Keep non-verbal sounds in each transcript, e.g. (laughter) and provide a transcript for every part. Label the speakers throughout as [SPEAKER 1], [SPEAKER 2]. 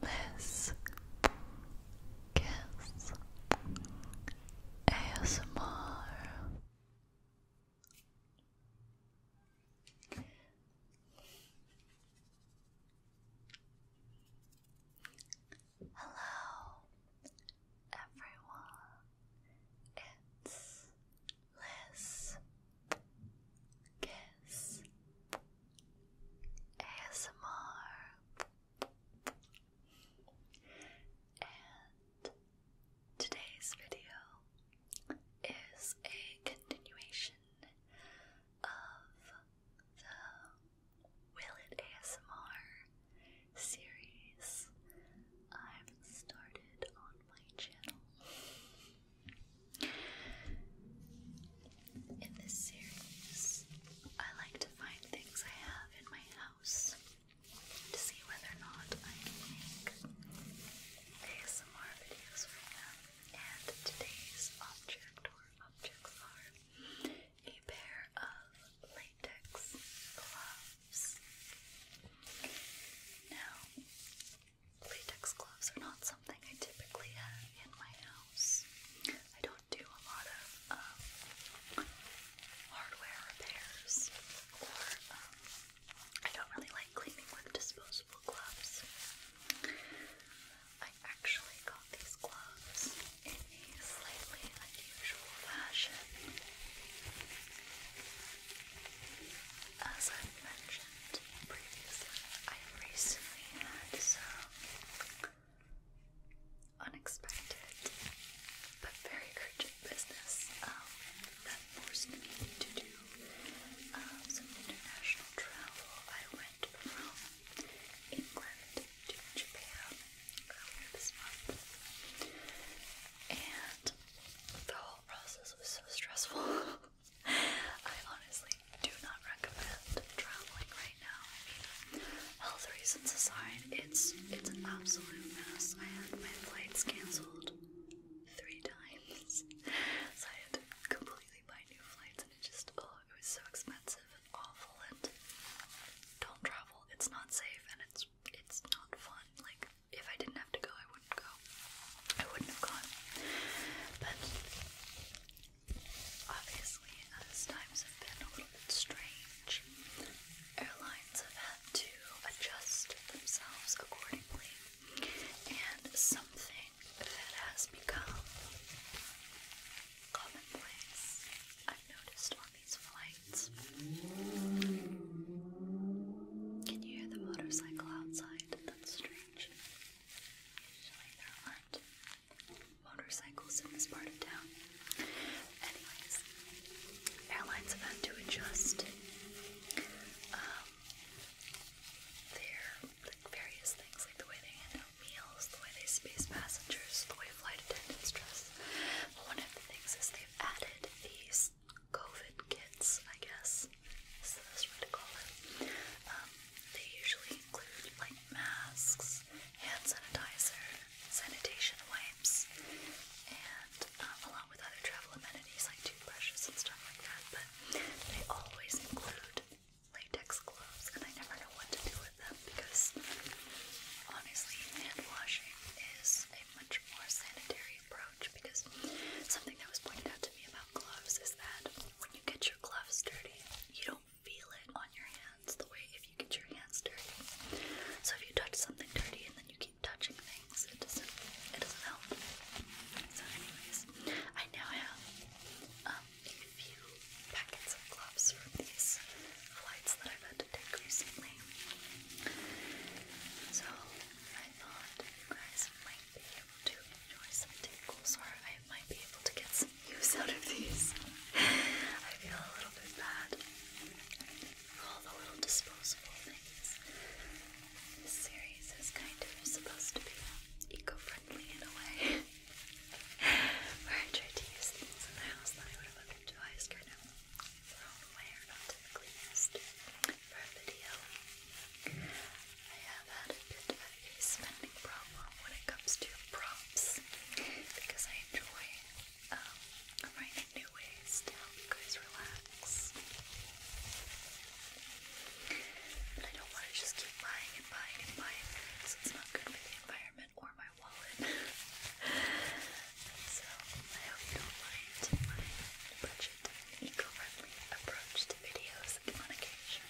[SPEAKER 1] This Kiss ASMR. Hello, everyone. It's Liz Kiss ASMR. And today's video is a continuation of the Will It ASMR series I've started on my channel. In this series, I like to find things I have in my house to see whether or not I can make ASMR videos for them. And today's object or objects are a pair of latex gloves. Now, latex gloves are not something something I typically have in my house. I don't do a lot of um, hardware repairs, or um, I don't really like cleaning with disposable gloves. I actually got these gloves in a slightly unusual fashion. As i mentioned mentioned previously, I recently had some unexpected but very urgent business um, that forced me to do uh, some international travel. I went from England to Japan um, and the whole process was so stressful. (laughs) I honestly do not recommend traveling right now. health reasons aside, it's it's an absolute mess. I had my flights cancelled three times, so I had to completely buy new flights, and it just oh, it was so expensive and awful. And don't travel; it's not safe, and it's it's not fun. Like if I didn't have to go, I wouldn't go. I wouldn't have gone. But Obviously, as times have been a little bit strange, airlines have had to adjust themselves accordingly. And something that has become commonplace, I've noticed on these flights. Can you hear the motorcycle outside? That's strange. Usually there aren't motorcycles in this part of town. Anyways, airlines have had to adjust um, their like, various things, like the way they handle meals, the way they space passengers, the way flight attendants dress. But one of the things is they've added these COVID kits, I guess, is the best way to call it. Um, they usually include like masks, hand sanitizer, sanitation wipes, and um, along with other travel amenities like toothbrushes and stuff like that. But they always include latex gloves, and I never know what to do with them because honestly, hand washing is a much more sanitary approach. Because something that was pointed out to me about gloves is that when you get your gloves dirty, you don't feel it on your hands the way if you get your hands dirty. So if you touch something dirty and then you keep touching things, it doesn't it doesn't help. So anyways, I now have um, a few packets of gloves from these flights that I've had to take recently. So I thought guys be able to enjoy some tingles, or I might be able to get some use out of these. I feel a little bit bad for all the little disposable things. This series is kind of supposed to be eco-friendly in a way. (laughs) Where I try to use things in the house that I would have utilized kind of thrown away or not typically used for a video. I have had a bit of a spending problem when it comes to props because I enjoy um, finding new ways to help you guys relax. But I don't want to just keep buying and buying and buying things. It's not good for the environment or my wallet. (laughs) so I hope you don't mind my budget eco-friendly approach to videos on occasion.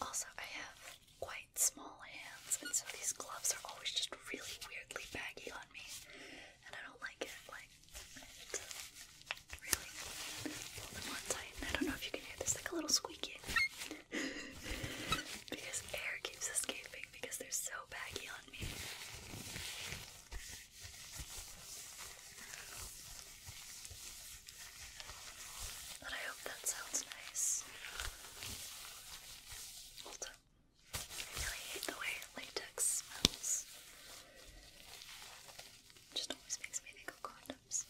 [SPEAKER 1] Also, I have quite small hands, and so these gloves are always just really weirdly baggy on me, and I don't like it. Like, really pull them I don't know if you can hear this, like a little squeaking. (laughs) because air keeps escaping because they're so baggy on me. But I hope that sounds nice. Also, I really hate the way latex smells. just always makes me think of condoms.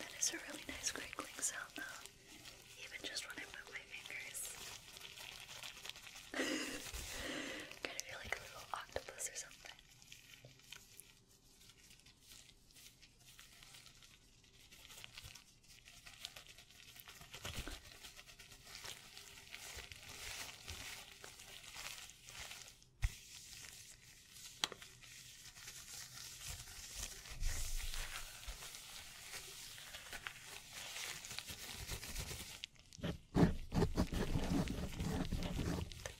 [SPEAKER 1] That is a really nice crinkling sound though, even just when I move my fingers. (laughs) kind of feel like a little octopus or something. The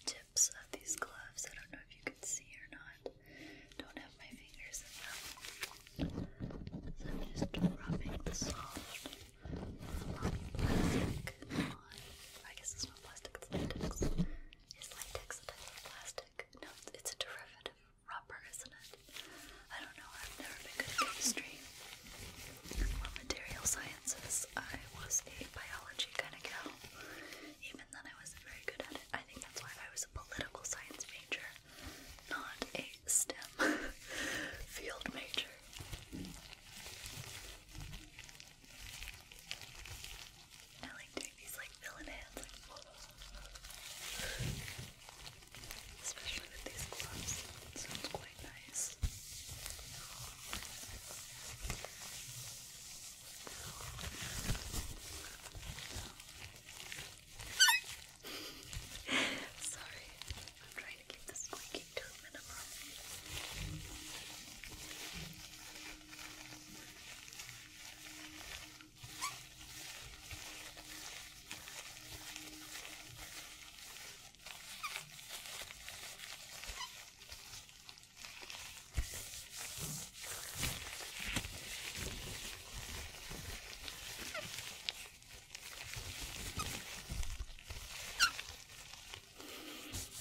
[SPEAKER 1] tips of these gloves, I don't know if you can see or not, don't have my fingers in them. So I'm just rubbing the soft plastic on. I guess it's not plastic, it's latex. Is latex a type of plastic? No, it's, a derivative of rubber, isn't it? I don't know, I've never been good at chemistry. Well, material sciences, I was a biology kind of girl. Even then, I wasn't very good at it. I think that's why I was a political science major, not a STEM (laughs) field major. I like doing these like villain hands, especially with these gloves. sounds quite nice. (laughs) Sorry, try to keep the squeaking to a minimum.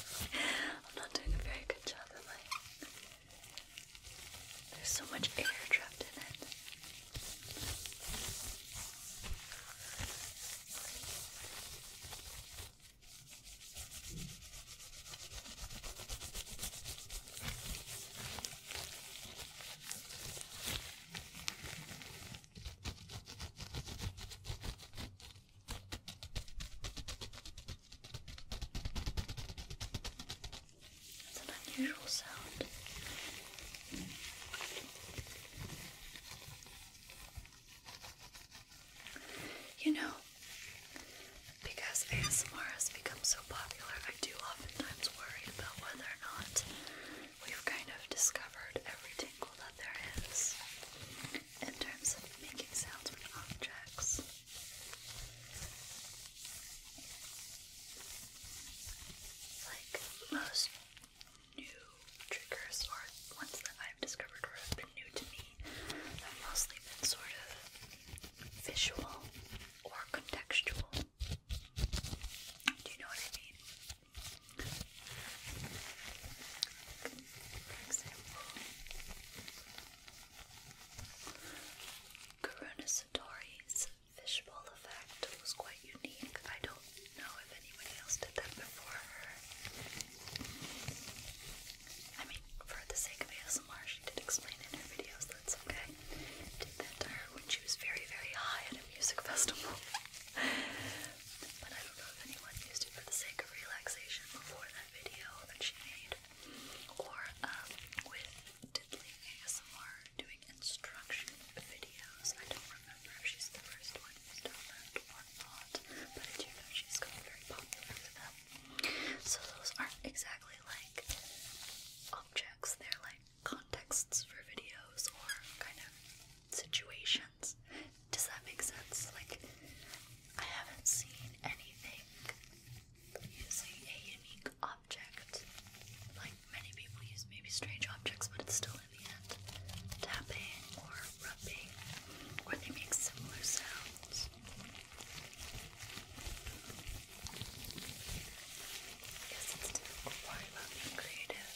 [SPEAKER 1] I'm not doing a very good job, am I? There's so much air trapped in it. It's an unusual sound. You know, because ASMR has become so popular, I do oftentimes worry about whether or not we've kind of discovered every tingle that there is in terms of making sounds with objects. Like most new triggers or ones that I've discovered or have been new to me have mostly been sort of visual or contextual. Do you know what I mean? Karuna Satori's fishbowl effect was quite unique. I don't know if anyone else did that before her. I mean, for the sake of ASMR, she did explain in her videos, that's okay. Did that to her when she was very, very high at a music (laughs) festival but I don't know if anyone used it for the sake of relaxation before that video that she made, or um, with Diddly ASMR doing instruction videos. I don't remember she's the first one who's done or not, but I know she's gotten very popular for them. So those aren't exactly like objects, they're like contexts for videos or kind of situations. Does that make sense? Like, I haven't seen anything using a unique object. Like, many people use maybe strange objects, but it's still in the end tapping or rubbing, or they make similar sounds. Yes, it's difficult. Why about being creative?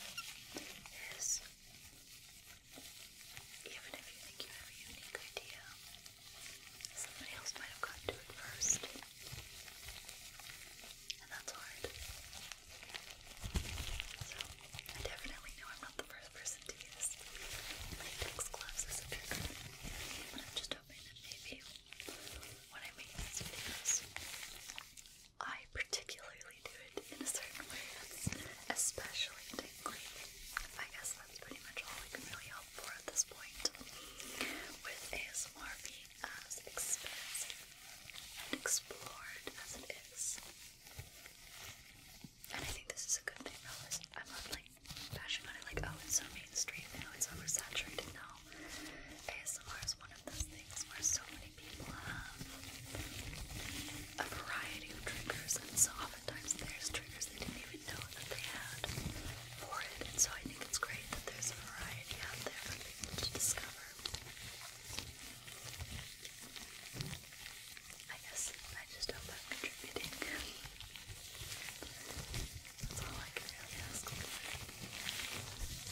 [SPEAKER 1] is even if you think you have a unique idea, somebody else might have gotten to it first. And that's hard. So, I definitely know I'm not the first person to use latex gloves as a trigger. But I'm just hoping that maybe when I make these videos, I particularly do it in a certain way that's especially tingly. I guess that's pretty much all I can really help for at this point. With ASMR being as expansive and explored as it is. And I think this is a good thing though, I'm not like bashing on it like, oh, it's so mainstream, you know, it's oversaturated now. ASMR is one of those things where so many people have a variety of triggers, and so oftentimes there's triggers they didn't even know that they had for it. And so I think it's great that there's a variety out there to discover. I guess I just hope I'm contributing. That's all I can really ask for.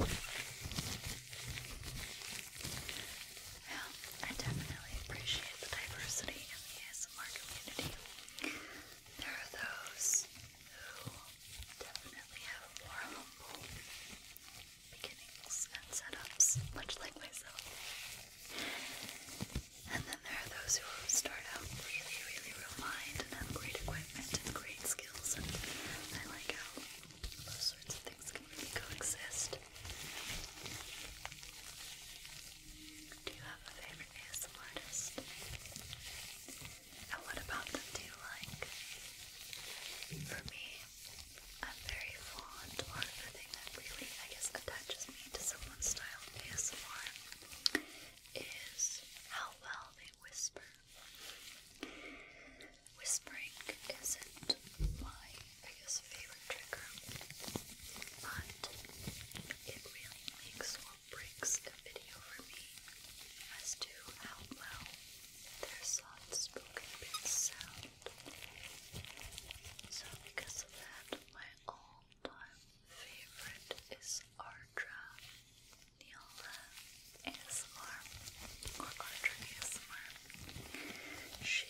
[SPEAKER 1] Well, I definitely appreciate the diversity in the ASMR community. There are those who definitely have more humble beginnings and setups, much like myself. And then there are those who start out really, really refined and have great equipment and great skills, I like how those sorts of things can really coexist. Do you have a favorite ASM artist? And what about them do you like? For me, I'm very fond or the thing that really, I guess, attaches me to someone's style of ASMR is how well they whisper. Whispering isn't my biggest favorite trigger, but it really makes or breaks a video for me as to how well their soft spoken sound. So, because of that, my all time favorite is Ardra. Neola ASMR or Audrey ASMR. She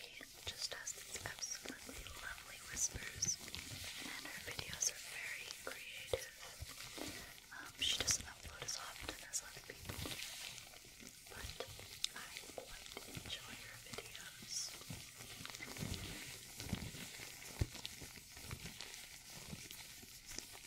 [SPEAKER 1] just has these absolutely lovely whispers and her videos are very creative. she doesn't upload as often as other people, but I enjoy her videos.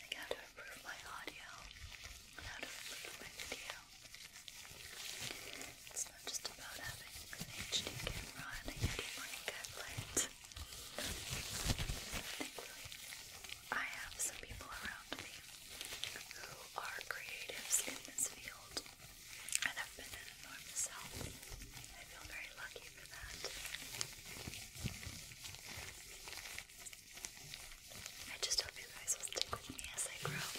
[SPEAKER 1] like how to improve my audio and how to improve my video. It's not just about having an HD camera and a Yeti mic I have some people around me who are creatives in this field and have been an enormous help. I feel very lucky for that. I just hope you guys will stick with me as I grow.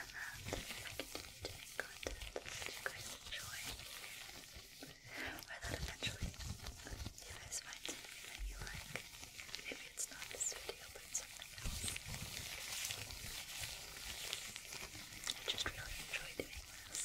[SPEAKER 1] And that uh, I continue to make content that you guys enjoy. Or that eventually you guys find something that you like. Maybe it's not this video, but something else. I just really enjoy doing this.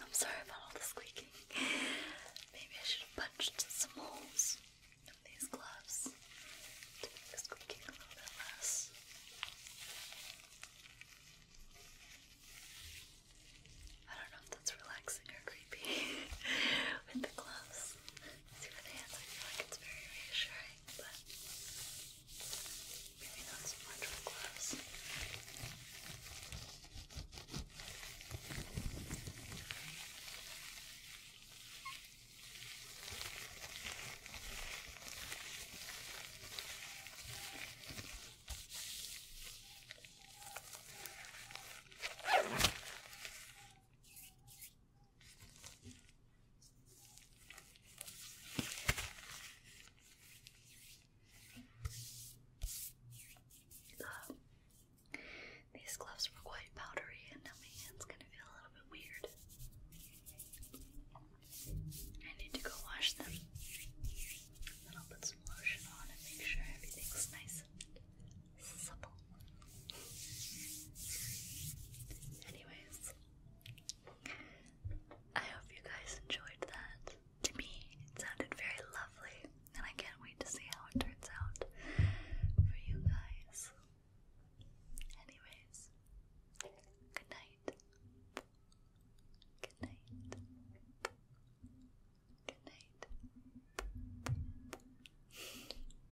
[SPEAKER 1] I'm sorry about all the squeaking. Maybe I should have punched some holes in these gloves to make the squeaking a little bit less. I don't know if that's relaxing or creepy (laughs) with the gloves. See with the hands, I feel like it's very reassuring, but maybe not so much with gloves. Okay, these gloves were quite powdery, and now my hand's gonna feel a little bit weird. I need to go wash them. Then I'll put some lotion on and make sure everything's nice Anyways, I hope you guys enjoyed that. To me, it sounded very lovely, and I can't wait to see how it turns out for you guys. Anyways, good night. Good night. Good night.